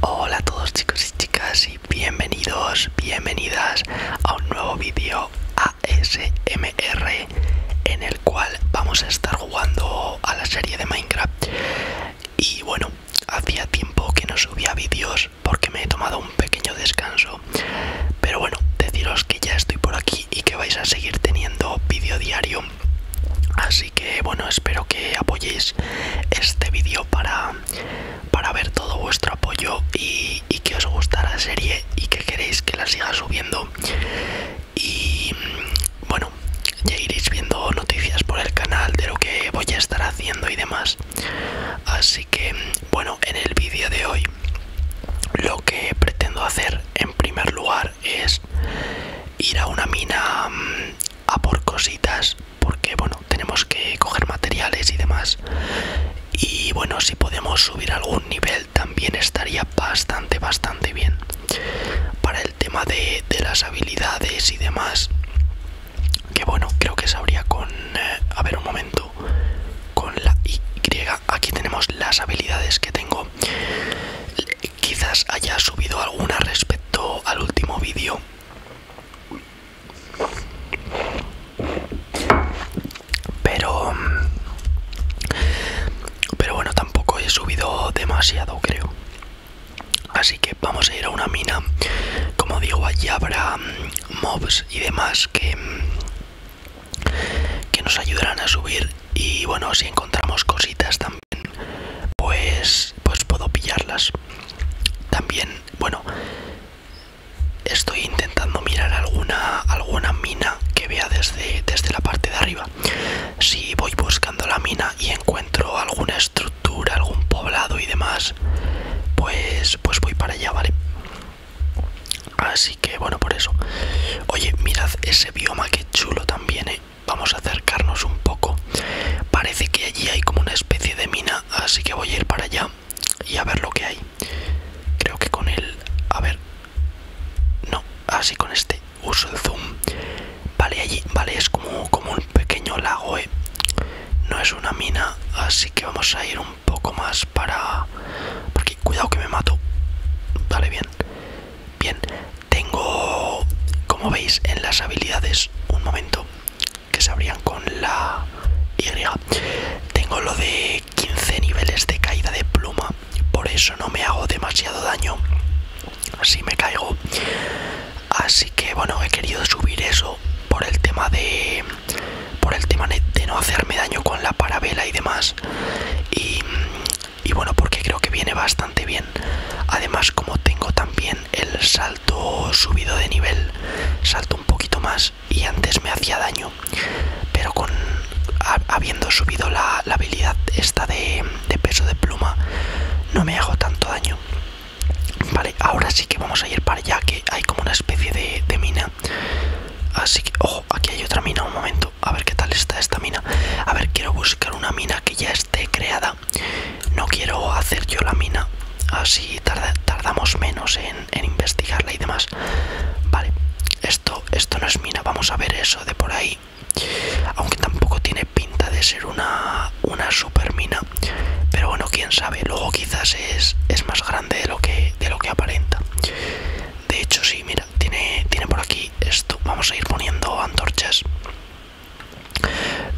Hola a todos chicos y chicas y bienvenidos, bienvenidas a un nuevo vídeo ASMR en el cual vamos a estar jugando a la serie de Minecraft y bueno, hacía tiempo que no subía vídeos porque me he tomado un pequeño descanso pero bueno, deciros que ya estoy por aquí y que vais a seguir teniendo vídeo diario así así que bueno espero que apoyéis este vídeo para para ver todo vuestro apoyo y, que os gusta la serie y que queréis que la siga subiendo y bueno ya iréis viendo noticias por el canal de lo que voy a estar haciendo y demás así que bueno en el vídeo de hoy lo que pretendo hacer en primer lugar es ir a una mina mm, a por cositas porque bueno tenemos que coger materiales y demás y bueno si podemos subir algún nivel también estaría bastante bastante bien para el tema de, las habilidades y demás que bueno creo que sabría con eh, a ver un momento con la y aquí tenemos las habilidades que tengo quizás haya subido alguna respecto al último vídeo pero pero bueno tampoco he subido demasiado creo así que vamos a ir a una mina como digo allí habrá mm, mobs y demás que mm, que nos ayudarán a subir y bueno si encontramos cositas también pues pues puedo pillarlas también bueno estoy intentando mirar alguna mina que vea desde desde la parte de arriba si voy buscando la mina y encuentro alguna estructura algún poblado y demás pues pues voy para allá vale así que bueno por eso oye mirad ese bioma que chulo también ¿eh? Vamos a acercarnos un poco. Parece que allí hay como una especie de mina, así que voy a ir para allá y a ver lo que hay. Creo que con el... A ver... No, así con este. Uso el zoom. Vale, allí, vale, es como, como un pequeño lago, ¿eh? No es una mina, así que vamos a ir un poco más para... Porque cuidado que me mato. Vale, bien. Bien, tengo, como veis, en las habilidades, un momento, que se abrían con la Y. Tengo lo de 15 niveles de caída de pluma, por eso no me hago demasiado daño así me caigo. Así que bueno, he querido subir eso por el tema de por el tema de no hacerme daño con la parabela y demás. Y y bueno porque creo que viene bastante bien además como tengo también el salto subido de nivel salto un poquito más y antes me hacía daño pero con habiendo subido la, habilidad esta de, peso de pluma no me hago tanto daño vale ahora sí que vamos a ir para allá que hay como una especie de, de mina así que ojo aquí hay otra mina un momento a ver qué tal está esta mina a ver quiero buscar una mina que ya esté creada no quiero hacer yo la mina así tardamos menos en, investigarla y demás vale esto esto no es mina vamos a ver eso de por ahí aunque tampoco tiene pinta de ser una una super mina pero bueno quién sabe luego quizás es más grande de lo que de lo que aparenta de hecho, sí, mira, tiene, tiene por aquí esto. Vamos a ir poniendo antorchas.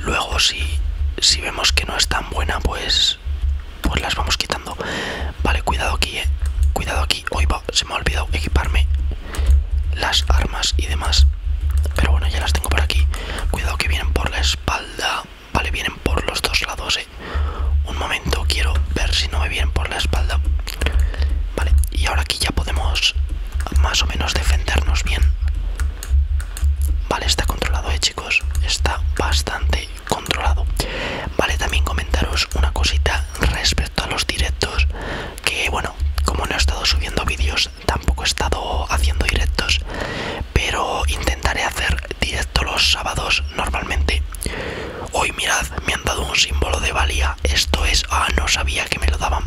Luego, si, vemos que no es tan buena, pues, pues las vamos quitando. Vale, cuidado aquí, eh. Cuidado aquí. Hoy se me ha olvidado equiparme las armas y demás. Pero bueno, ya las tengo por aquí. Cuidado que vienen por la espalda. Vale, vienen por los dos lados, eh. Un momento, quiero ver si no me vienen por la espalda. Vale, y ahora aquí ya podemos más o menos defendernos bien. Vale, está controlado, eh, chicos. Está bastante controlado. Vale, también comentaros una cosita respecto a los directos. Que bueno, como no he estado subiendo vídeos, tampoco he estado haciendo directos. Pero intentaré hacer directo los sábados normalmente. Hoy mirad, me han dado un símbolo de valía. Esto es, ah, no sabía que me lo daban.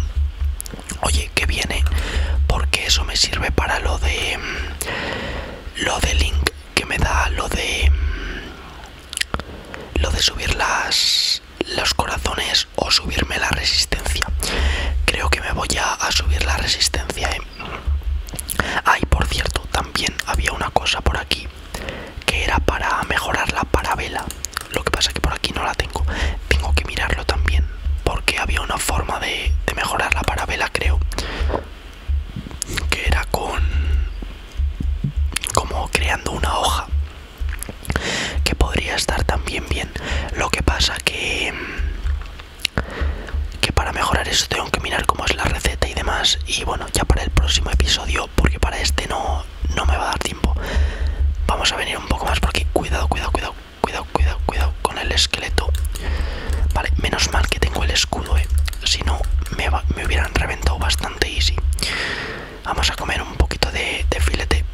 Oye, que viene, porque eso me sirve para lo de... Mm, lo de link que me da, lo de... Mm, lo de subir las... Los corazones o subirme la resistencia. Creo que me voy a, subir la resistencia. ¿eh? Ay, por cierto, también había una cosa por aquí que era para mejorar la parabela lo que pasa que por aquí no la tengo tengo que mirarlo también porque había una forma de, mejorar la parabela creo que era con como creando una hoja que podría estar también bien lo que pasa que que para mejorar eso tengo que mirar cómo es la receta y demás y bueno ya para el próximo episodio porque para este no, no me va a dar tiempo. Vamos a venir un poco más porque cuidado, cuidado, cuidado, cuidado, cuidado, cuidado con el esqueleto. Vale, menos mal que tengo el escudo, eh. Si no, me, hubieran reventado bastante easy. Vamos a comer un poquito de, de filete.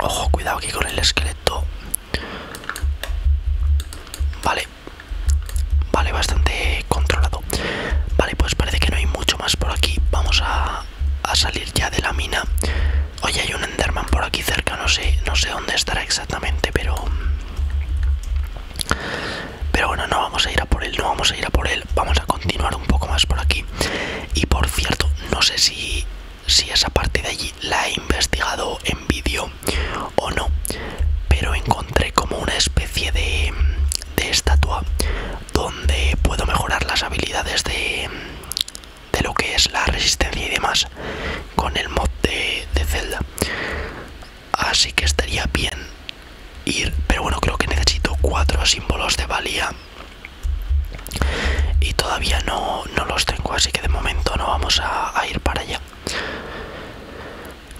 Ojo, cuidado aquí con el esqueleto. Vale, vale, bastante controlado. Vale, pues parece que no hay mucho más por aquí. Vamos a, salir ya de la mina. Oye, hay un Enderman por aquí cerca, no sé, no sé dónde estará exactamente, pero... Pero bueno, no vamos a ir a por él, no vamos a ir a por él, vamos a continuar un poco más por aquí. Y por cierto, no sé si, si esa parte de allí la he investigado en vídeo o no, pero encontré como una especie de, de estatua donde puedo mejorar las habilidades de, lo que es la resistencia y demás con el mod de, Zelda. Así que estaría bien ir, pero bueno, creo que necesito cuatro símbolos de valía y todavía no, los tengo, así que de momento no vamos a, a ir para allá.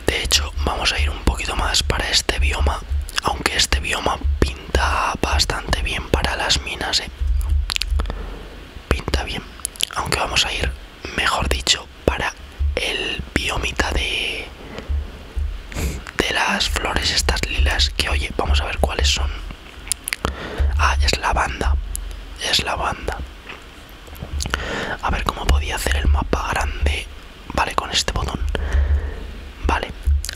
De hecho, vamos a ir un poquito más para este bioma, aunque este bioma pinta bastante bien para las minas, ¿eh? Pinta bien, aunque vamos a ir, mejor dicho, para el biomita de de las flores estas lilas que oye vamos a ver cuáles son ah es lavanda es lavanda a ver cómo podía hacer el mapa grande vale con este botón vale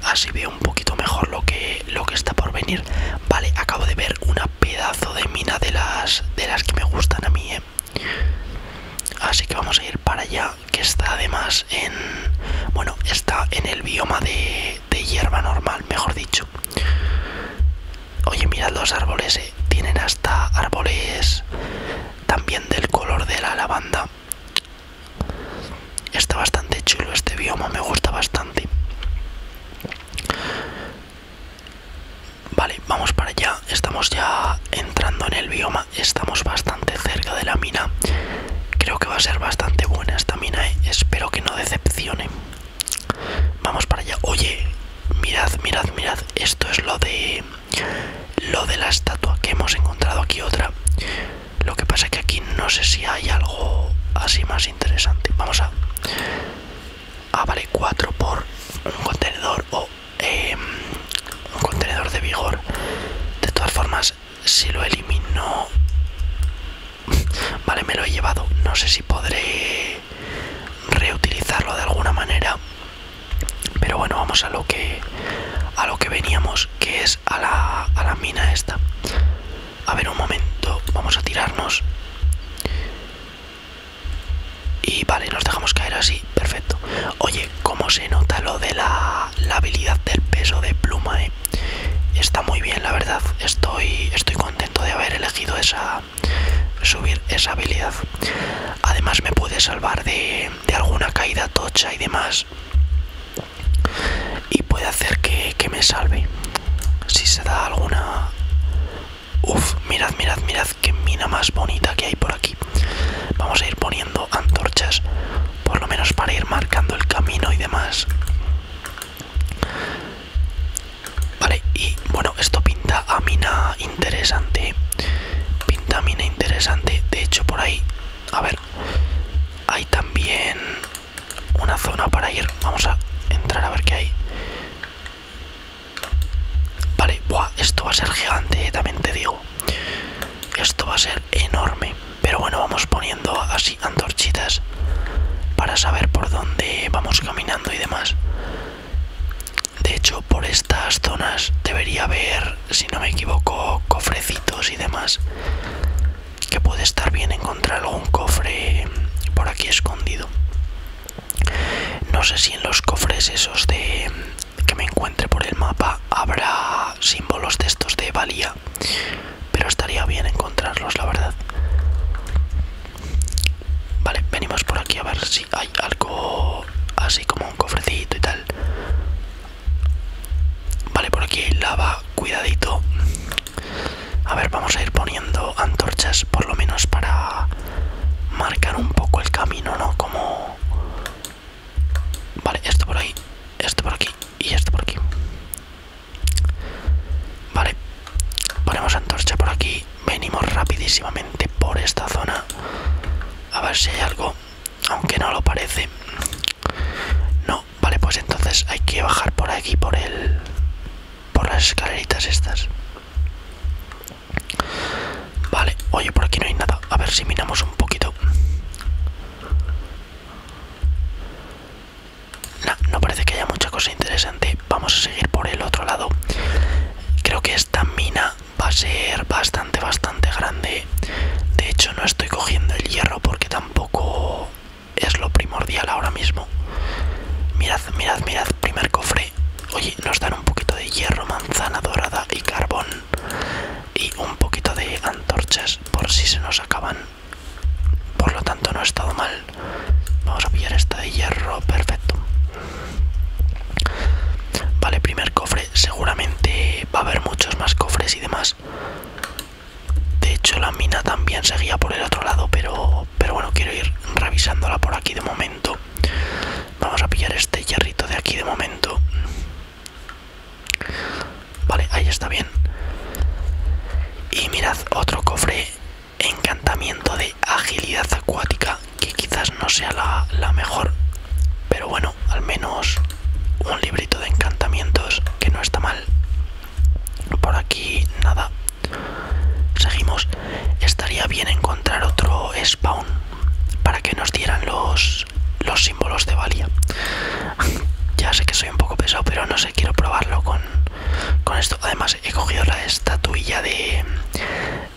así veo un poquito mejor lo que lo que está por venir vale acabo de ver una pedazo de mina de las de las que me gustan a mí ¿eh? así que vamos a ir para allá que está además en bueno está en el bioma de, hierba normal mejor dicho oye mirad los árboles ¿eh? tienen hasta árboles también del color de la lavanda está bastante chulo este bioma me gusta bastante vale vamos para allá estamos ya entrando en el bioma estamos bastante cerca de la mina creo que va a ser bastante buena esta mina ¿eh? espero que no decepcione vamos para allá oye mirad mirad mirad esto es lo de lo de la estatua, que hemos encontrado aquí otra. Lo que pasa es que aquí no sé si hay algo así más interesante. Vamos a... Ah, vale, 4 por un contenedor o em, un contenedor de vigor. De todas formas, si lo elimino... Vale, me lo he llevado. No sé si podré reutilizarlo de alguna manera. Pero bueno, vamos a lo que a lo que veníamos, que es a la, a la mina esta. A ver, un momento, vamos a tirarnos. Y vale, nos dejamos caer así, perfecto. Oye, como se nota lo de la, la habilidad del peso de pluma, eh. Está muy bien, la verdad. Estoy, estoy contento de haber elegido esa subir esa habilidad. Además me puede salvar de de, alguna caída tocha y demás y puede hacer que, que me salve si se da alguna uff mirad mirad mirad qué mina más bonita que hay por aquí vamos a ir poniendo antorchas por lo menos para ir marcando el camino y demás vale y bueno esto pinta a mina interesante Pintamina interesante De hecho por ahí A ver Hay también Una zona para ir Vamos a entrar a ver qué hay Vale, esto va a ser gigante, eh, también te digo Esto va a ser enorme Pero bueno, vamos poniendo así antorchitas Para saber por dónde vamos caminando y demás de hecho, por estas zonas debería haber, si no me equivoco, cofrecitos y demás. Que puede estar bien encontrar algún cofre por aquí escondido. No sé si en los cofres esos de que me encuentre por el mapa habrá símbolos de estos de valía, pero estaría bien encontrarlos, la verdad. Vale, venimos por aquí a ver si hay algo así como un cofrecito y tal. Vale, por aquí lava, cuidadito. A ver, vamos a ir poniendo antorchas por lo menos para marcar un poco el camino, ¿no? Como... Vale, esto por ahí, esto por aquí y esto por aquí. Vale, ponemos antorcha por aquí venimos rapidísimamente por esta zona a ver si hay algo aunque no lo parece no vale pues entonces hay que bajar por aquí por el por las escaleritas estas vale oye por aquí no hay nada a ver si miramos un poquito no, no parece que haya mucha cosa interesante vamos a seguir por el otro lado creo que esta mina va a ser bastante, bastante grande. De hecho, no estoy cogiendo el hierro porque tampoco es lo primordial ahora mismo. Mirad, mirad, mirad, primer cofre. Oye, nos dan un poquito de hierro, manzana dorada y carbón. Y un poquito de antorchas por si se nos acaban. Por lo tanto, no ha estado mal. Vamos a pillar esta de hierro, perfecto. Vale, primer cofre. Seguramente va a haber muchos más cofres y demás. De hecho, la mina también seguía por el otro lado, pero, pero bueno, quiero ir revisándola por aquí de momento. Vamos a pillar este hierrito de aquí de momento. Vale, ahí está bien. Y mirad, otro cofre. Encantamiento de agilidad acuática que quizás no sea la, mejor, pero bueno, al menos un librito de encantamientos que no está mal. Por aquí nada. Seguimos. Estaría bien encontrar otro spawn para que nos dieran los, los símbolos de valia ya sé que soy un poco pesado, pero no sé, quiero probarlo con esto. Además, he cogido la estatuilla de,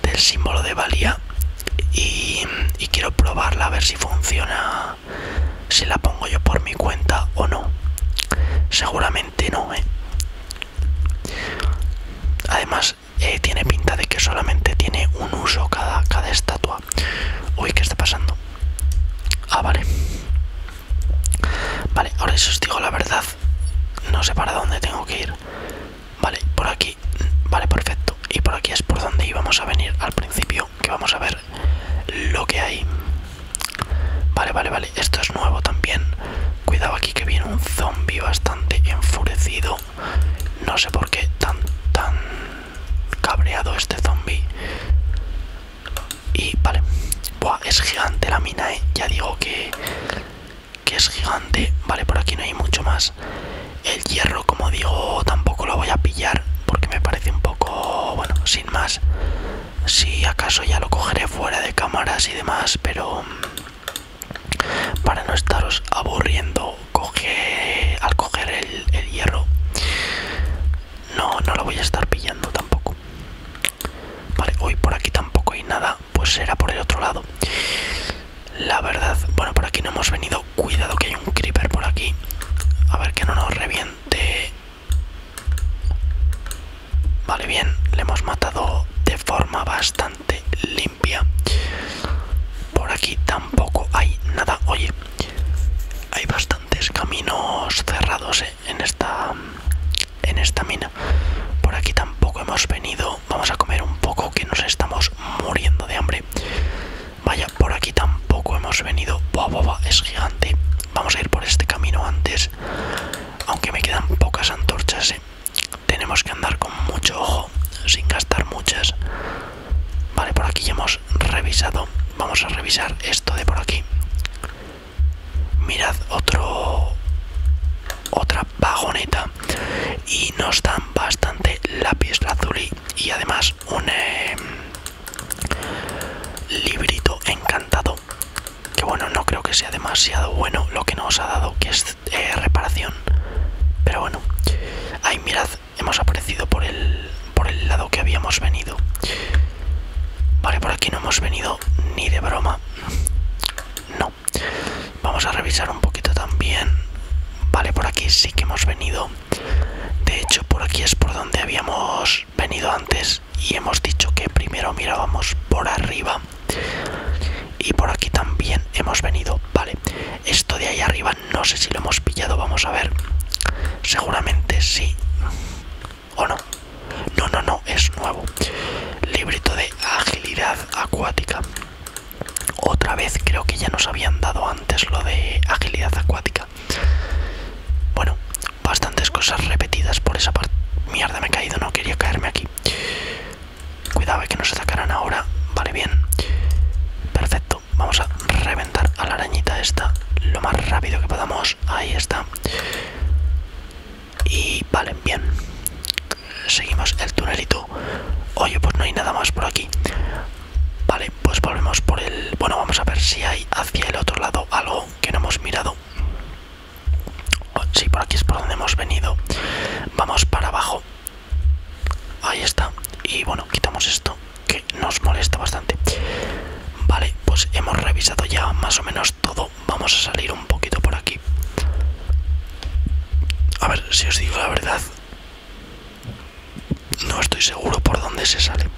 del símbolo de valía y, quiero probarla a ver si funciona si la pongo yo por mi cuenta o no seguramente no ¿eh? además eh, tiene pinta de que solamente tiene un uso cada, cada estatua uy qué está pasando ah vale vale ahora si os digo la verdad no sé para dónde tengo que ir Vale, por aquí. Vale, perfecto. Y por aquí es por donde íbamos a venir al principio, que vamos a ver lo que hay. Vale, vale, vale. Esto es nuevo también. Cuidado aquí que viene un zombie bastante enfurecido. No sé por qué tan, tan cabreado este zombie. Y vale. Buah, es gigante la mina, ¿eh? Ya digo que que es gigante vale por aquí no hay mucho más el hierro como digo tampoco lo voy a pillar porque me parece un poco bueno sin más si acaso ya lo cogeré fuera de cámaras y demás pero mm, para no estaros aburriendo coge, al coger el, el hierro no no lo voy a estar pillando tampoco vale hoy por aquí tampoco hay nada pues será por el otro lado. La verdad, bueno, por aquí no hemos venido. Cuidado que hay un creeper por aquí. A ver que no nos reviente. Vale, bien, le hemos matado de forma bastante limpia. Por aquí tampoco hay nada. Oye, hay bastantes caminos cerrados eh, en esta en esta mina. Por aquí tampoco hemos venido vamos a comer un poco que nos estamos muriendo de hambre. Vaya, por aquí tampoco hemos venido. Buah, boba es gigante. Vamos a ir por este camino antes. Aunque me quedan pocas antorchas, ¿eh? tenemos que andar con mucho ojo, sin gastar muchas. Vale, por aquí ya hemos revisado. Vamos a revisar esto de por aquí. Mirad, otro otra vagoneta y nos dan bastante lápiz azul y además un em, librito encantado que bueno no creo que sea demasiado bueno lo que nos ha dado que es eh, reparación pero bueno ahí mirad hemos aparecido por el por el lado que habíamos venido vale por aquí no hemos venido ni de broma no vamos a revisar un poquito también vale por aquí sí que hemos venido de hecho por aquí es por donde habíamos venido antes y hemos dicho que primero mirábamos por arriba y por aquí también hemos venido vale esto de ahí arriba no sé si lo hemos pillado vamos a ver seguramente sí o no no, no, no, es nuevo. Librito de agilidad acuática. Otra vez creo que ya nos habían dado antes lo de agilidad acuática. Bueno, bastantes cosas repetidas por esa parte. Mierda, me he caído, no quería caerme aquí. Cuidado eh, que no se sacarán ahora. Vale, bien. Perfecto. Vamos a reventar a la arañita esta lo más rápido que podamos. Ahí está y vale, bien seguimos el tunelito oye pues no hay nada más por aquí vale pues volvemos por el bueno vamos a ver si hay hacia el otro lado algo que no hemos mirado oh, sí por aquí es por donde hemos venido vamos para abajo ahí está y bueno quitamos esto que nos molesta bastante vale pues hemos revisado ya más o menos todo vamos a salir un poquito por aquí. A ver, si os digo la verdad, no estoy seguro por dónde se sale.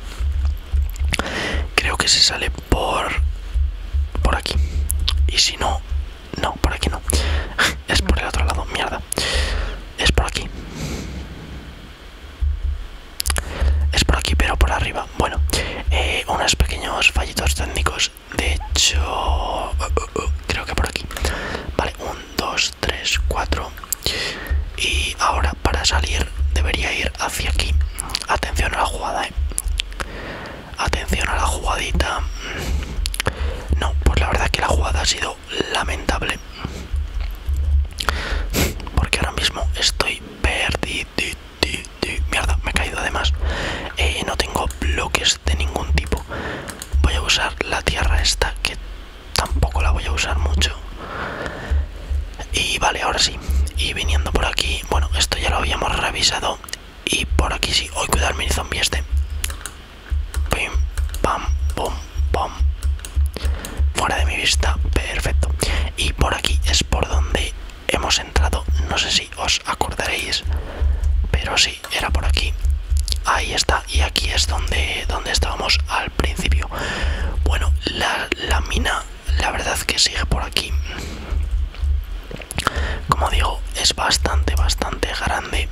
Creo que se sale por por aquí. Y si no, no, por aquí no. Es por el otro lado, mierda. Es por aquí. Es por aquí, pero por arriba. Bueno, eh, unos pequeños fallitos técnicos de hecho uh, uh, uh, creo que por aquí vale 1 2 3 4 y ahora para salir debería ir hacia aquí atención a la jugada ¿eh? atención a la jugadita no pues la verdad que la jugada ha sido lamentable porque ahora mismo estoy perdido Mierda, me he caído además. Eh, no tengo bloques de ningún tipo. Voy a usar la tierra esta, que tampoco la voy a usar mucho. Y vale, ahora sí. Y viniendo por aquí, bueno, esto ya lo habíamos revisado. Y por aquí sí. Hoy cuidarme el zombie este. pam, Fuera de mi vista. Perfecto. Y por aquí es por donde hemos entrado, no sé si os acordaréis, pero sí, era por aquí. Ahí está, y aquí es donde, donde estábamos al principio. Bueno, la, mina, la verdad que sigue por aquí. Como digo, es bastante, bastante grande.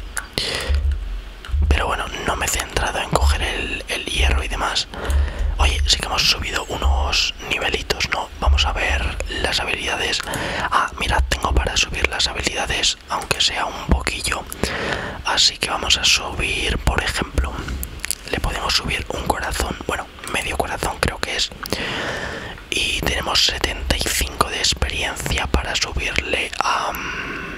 Pero bueno, no me he centrado en coger el hierro y demás. Oye, sí que hemos subido unos nivelitos, ¿no? vamos a ver las habilidades ah mirad tengo para subir las habilidades aunque sea un poquillo así que vamos a subir por ejemplo le podemos subir un corazón bueno medio corazón creo que es y tenemos 75 de experiencia para subirle a mm,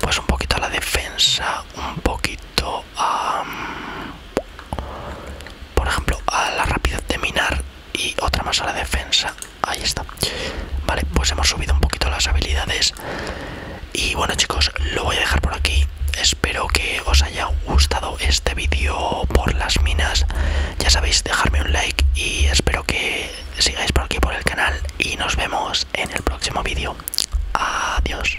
pues un poquito a la defensa un poquito a mm, por ejemplo a la rapidez de minar y otra más a la defensa ahí está vale pues hemos subido un poquito las habilidades y bueno chicos lo voy a dejar por aquí espero que os haya gustado este vídeo por las minas ya sabéis dejarme un like y espero que sigáis por aquí por el canal y nos vemos en el próximo vídeo adiós